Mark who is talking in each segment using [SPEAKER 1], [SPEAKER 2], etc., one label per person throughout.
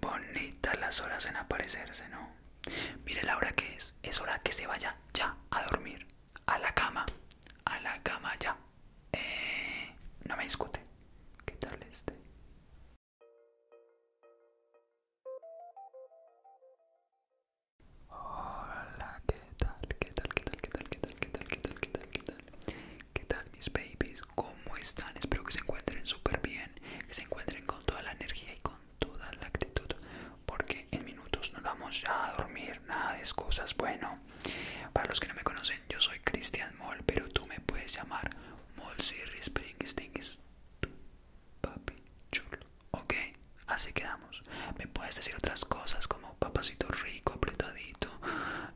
[SPEAKER 1] Bonitas las horas en aparecerse, ¿no? Mire la hora que es. Es hora que se vaya ya a dormir. A la cama. A la cama ya. Eh, no me discute. ¿Qué tal este? Hola, ¿qué tal? ¿Qué tal? ¿Qué tal? ¿Qué tal? ¿Qué tal? ¿Qué tal? ¿Qué tal? ¿Qué tal? mis babies? ¿Cómo están? Espero que se encuentren súper bien, que se encuentren con toda la energía y con toda la actitud, porque en minutos nos vamos a dormir, nada de excusas. Bueno, para los que no me conocen, yo soy Cristian Moll, pero tú me puedes llamar Moll Sirri Springsteen, papi chulo, ¿ok? Así quedamos. Me puedes decir otras cosas como papacito rico, apretadito,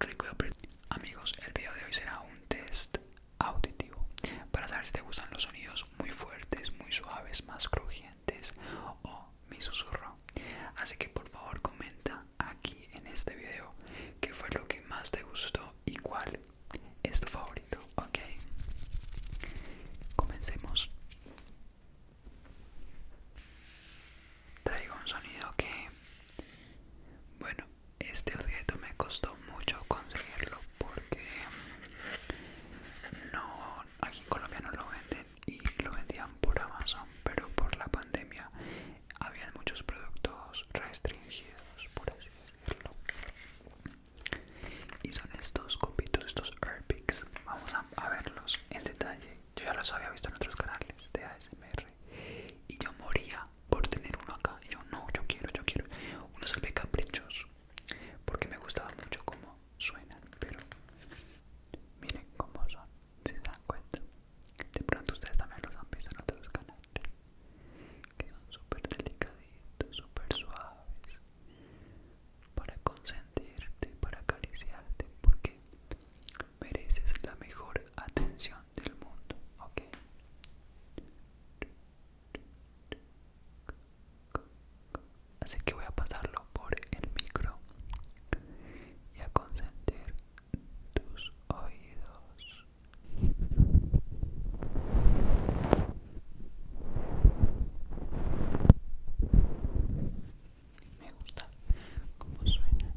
[SPEAKER 1] rico y apretadito. Amigos, el video de hoy será un test auditivo para saber si te gustan los sonidos muy fuertes, muy suaves, más crujientes o mi susurro. Así que por favor comenta aquí en este video qué fue lo que más te gustó y cuál es tu favorito, ¿ok? Comencemos. Traigo un sonido que, bueno, este objeto me costó mucho conseguirlo porque no aquí en Colombia no lo venden y lo vendían por Amazon pero por la pandemia había muchos productos restringidos por así decirlo y son estos copitos estos Airpics vamos a verlos en detalle yo ya los había visto en otros canales de ASMR y yo moría por tener uno acá. Y yo, no, yo quiero, yo quiero. unos se caprichoso, porque me gustaba mucho cómo suenan, pero miren cómo son, si se dan cuenta. De pronto ustedes también los han visto en otros canales, que son súper delicaditos, súper suaves, para consentirte, para acariciarte, porque mereces la mejor atención del mundo, ¿ok? Así que voy a pasarlo por el micro y a consentir tus oídos. Me gusta cómo suenan.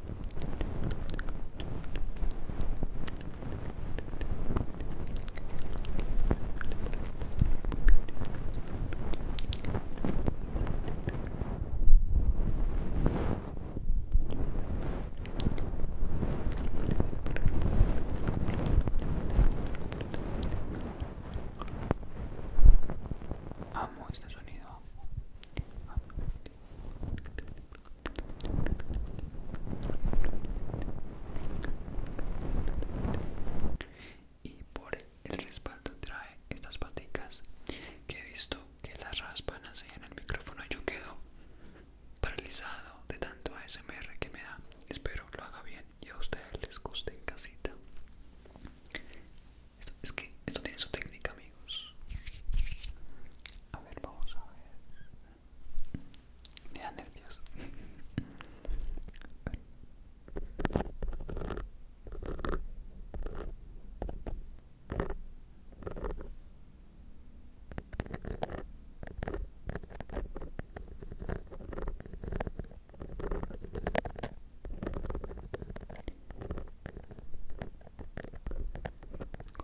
[SPEAKER 1] Amo este sonido y por el respaldo trae estas paticas que he visto que las raspan así en el micrófono Y yo quedo paralizado de tanto ASMR que me da espero lo haga bien y a ustedes les guste en casita esto, es que esto tiene su técnica, amigos. A ver, vamos a ver. Me da nervios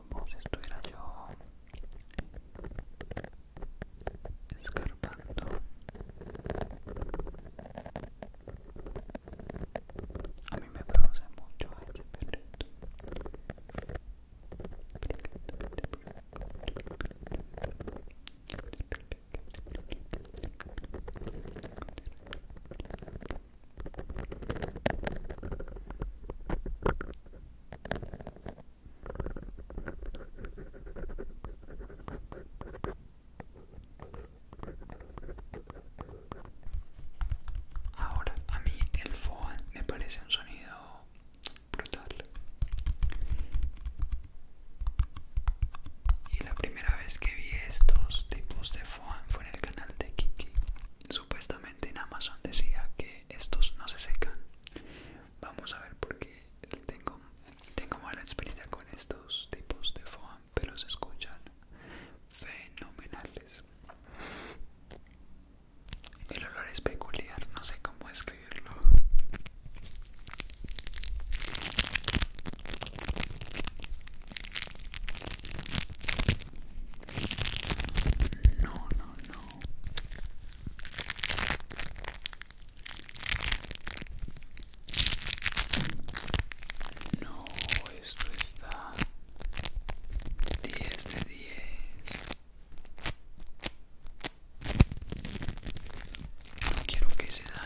[SPEAKER 1] como si estuviera yo escarpando a mí me produce mucho este Ahora, a mí el foam me parece un sonido brutal. Y la primera vez que vi estos tipos de foam fue en el canal de Kiki. Supuestamente en Amazon decía que estos no se secan. Vamos a ver porque tengo, mala experiencia con estos tipos de foam, pero se escuchan fenomenales. El olor es peculiar, no sé cómo escribirlo. No, no, no. No, esto está 10 de 10. No quiero que se dañe.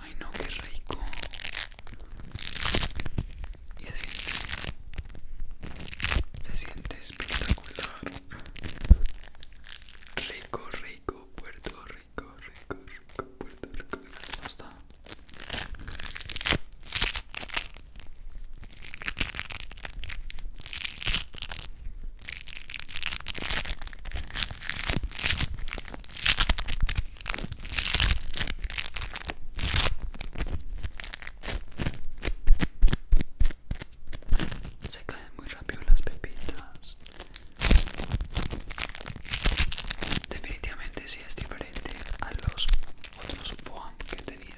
[SPEAKER 1] Ay no, qué rico. Y se siente. Se siente espectacular. Rico, rico, Puerto Rico, rico, rico, Puerto Rico. Se caen muy rápido las pepitas. Definitivamente sí es diferente a los otros foam que tenía.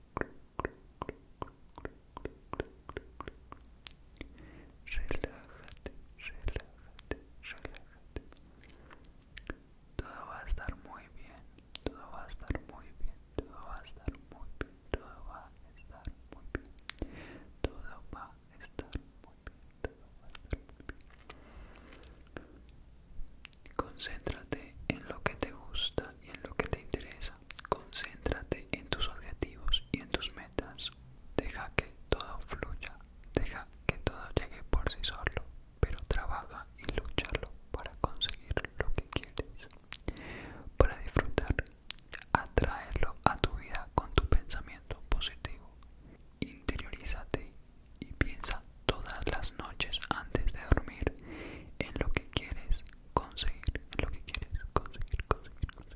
[SPEAKER 1] Relájate, relájate, relájate. Todo va a estar muy bien, todo va a estar muy bien, todo va a estar muy bien, todo va a estar muy bien, todo va a estar muy bien, todo va muy bien. Concéntrate en lo que te gusta y en lo que te interesa. Concéntrate en tus objetivos y en tus metas. Deja que todo fluya, deja que todo llegue por sí solo, pero trabaja y luchalo para conseguir lo que quieres. Para disfrutar, atraerlo a tu vida con tu pensamiento positivo. Interiorízate y piensa todas las noches antes de dormir en lo que quieres conseguir, en lo que quieres conseguir, conseguir, conseguir.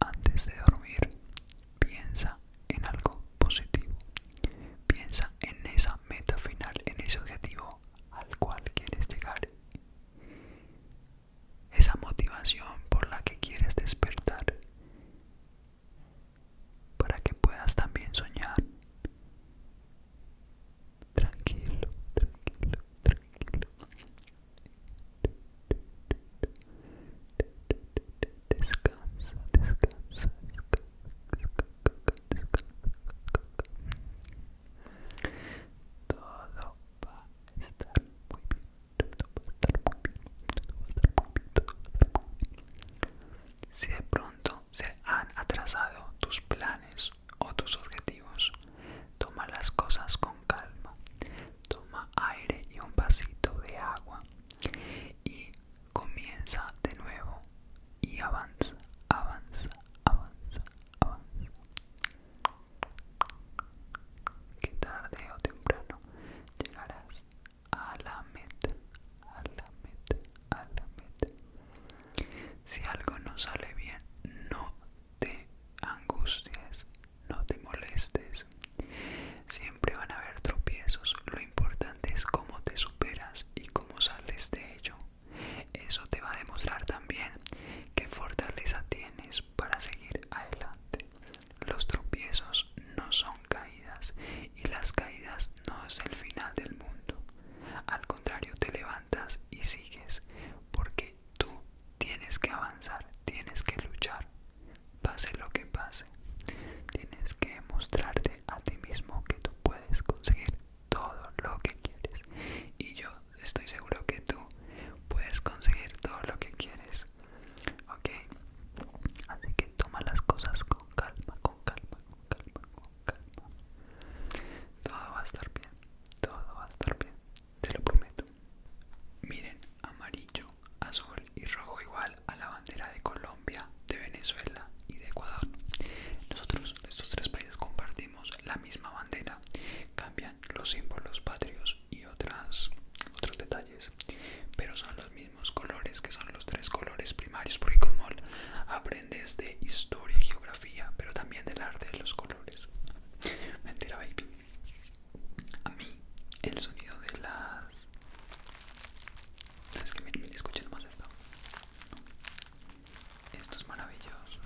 [SPEAKER 1] Antes de dormir, piensa en algo positivo. Piensa en esa meta final, en ese objetivo al cual quieres llegar. Esa motivación por la que quieres despertar. Para que puedas también soñar. Tranquilo, tranquilo, tranquilo descansa, descansa, todo va a estar muy bien, todo va a estar muy bien, todo va a estar todo va a estar muy bien. Si de pronto se han atrasado tus planes o tus objetivos, Toma las cosas con calma. Toma aire y un vasito de agua. Y comienza de nuevo. Y avanza, avanza, avanza, avanza. Que tarde o temprano llegarás a la meta, a la meta, a la meta. Si algo no sale bien, no te angustias no te molestes. Siempre van a haber tropiezos, lo importante es cómo te superas y cómo sales de ello. Eso te va a demostrar también qué fortaleza tienes para seguir adelante. Los tropiezos no son caídas y las caídas no es el final del mundo. Al contrario, te levantas y sigues porque tú tienes que avanzar, tienes que luchar, pase lo que pase. Tienes que mostrarte a ti mismo que tú puedes conseguir todo lo que quieres. Y yo estoy seguro que tú puedes conseguir todo lo que quieres. ¿Ok? Así que toma las cosas con calma, con calma, con calma, con calma. Todo va a estar bien, todo va a estar bien, te lo prometo. Miren, amarillo, azul y rojo igual a la bandera de Colombia, de Venezuela y de Ecuador. Nosotros, estos tres países, compartimos la misma bandera. Cambian los símbolos patrios y otras, otros detalles, pero son los mismos colores que son los tres colores primarios. Porque con MOL aprendes de historia y geografía, pero también del arte de los colores. Mentira, baby. A mí el sonido de las... ¿Sabes que me más esto. Esto es maravilloso.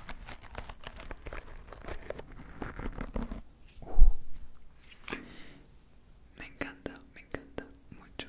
[SPEAKER 1] Me encanta, me encanta mucho.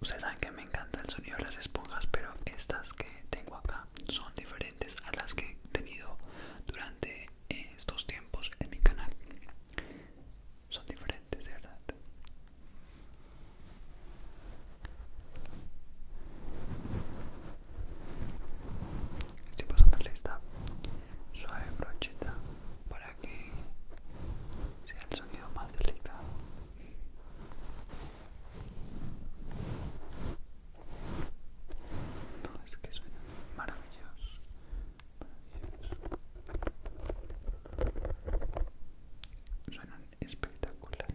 [SPEAKER 1] Ustedes saben que me encanta el sonido de las esponjas, pero estas que tengo acá son diferentes a las que he tenido durante estos tiempos en mi canal. Son diferentes, de verdad. Estoy pasando esta suave brochita para que sea el sonido más delicado. No, es que suena maravilloso. Suenan espectacular.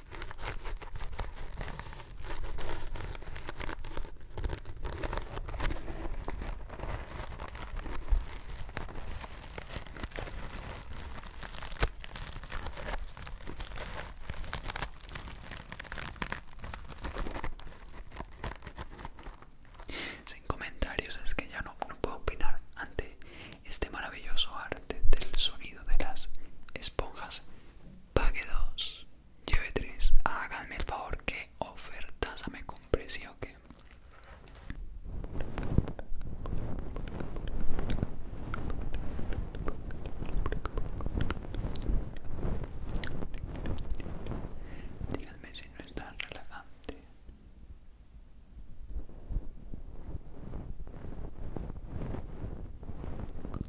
[SPEAKER 1] Sin comentarios es que ya no, puedo opinar ante este maravilloso arte del sonido de las esponjas pague dos, lleve tres. Háganme el favor que ofertas me compré, ¿sí o qué? Díganme si no es tan relajante.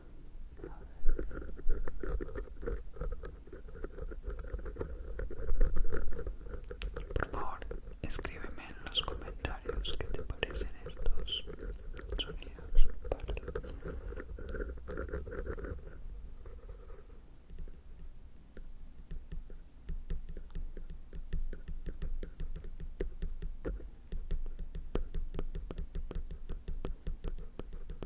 [SPEAKER 1] Por favor, escríbeme en los comentarios qué te parecen estos sonidos.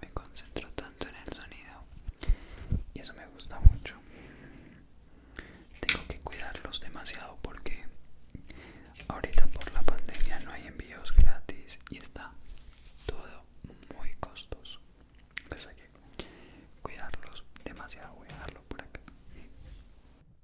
[SPEAKER 1] Me concentro tanto en el sonido y eso me gusta mucho. Tengo que cuidarlos demasiado porque ahorita por la pandemia no hay envíos gratis y está todo muy costoso. Entonces hay que cuidarlos demasiado. Voy a dejarlo por acá.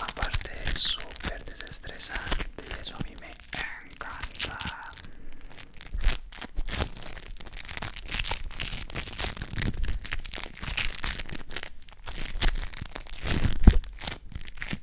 [SPEAKER 1] Aparte es súper desestresante y eso a mí me encanta.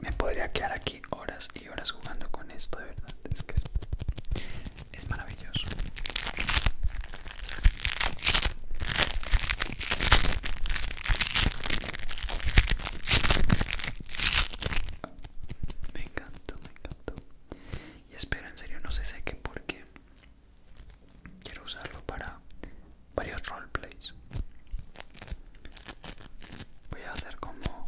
[SPEAKER 1] Me podría quedar aquí horas y horas jugando con esto, de verdad. Es que es, maravilloso. Me y espero en serio no se seque porque quiero usarlo para varios roleplays. Voy a hacer como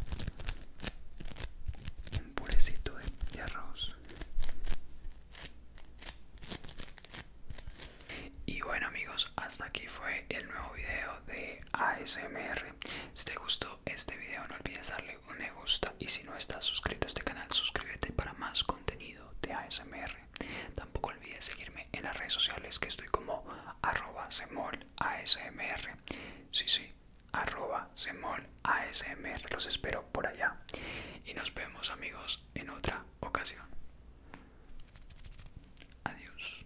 [SPEAKER 1] un purecito de, de arroz. Y bueno amigos, hasta aquí fue el nuevo video de ASMR si te gustó este video no olvides darle un me gusta y si no estás suscrito a este canal suscríbete para más contenido de ASMR. Tampoco olvides seguirme en las redes sociales que estoy como @semolASMR. Sí, sí, @semolASMR. Los espero por allá. Y nos vemos amigos en otra ocasión. Adiós.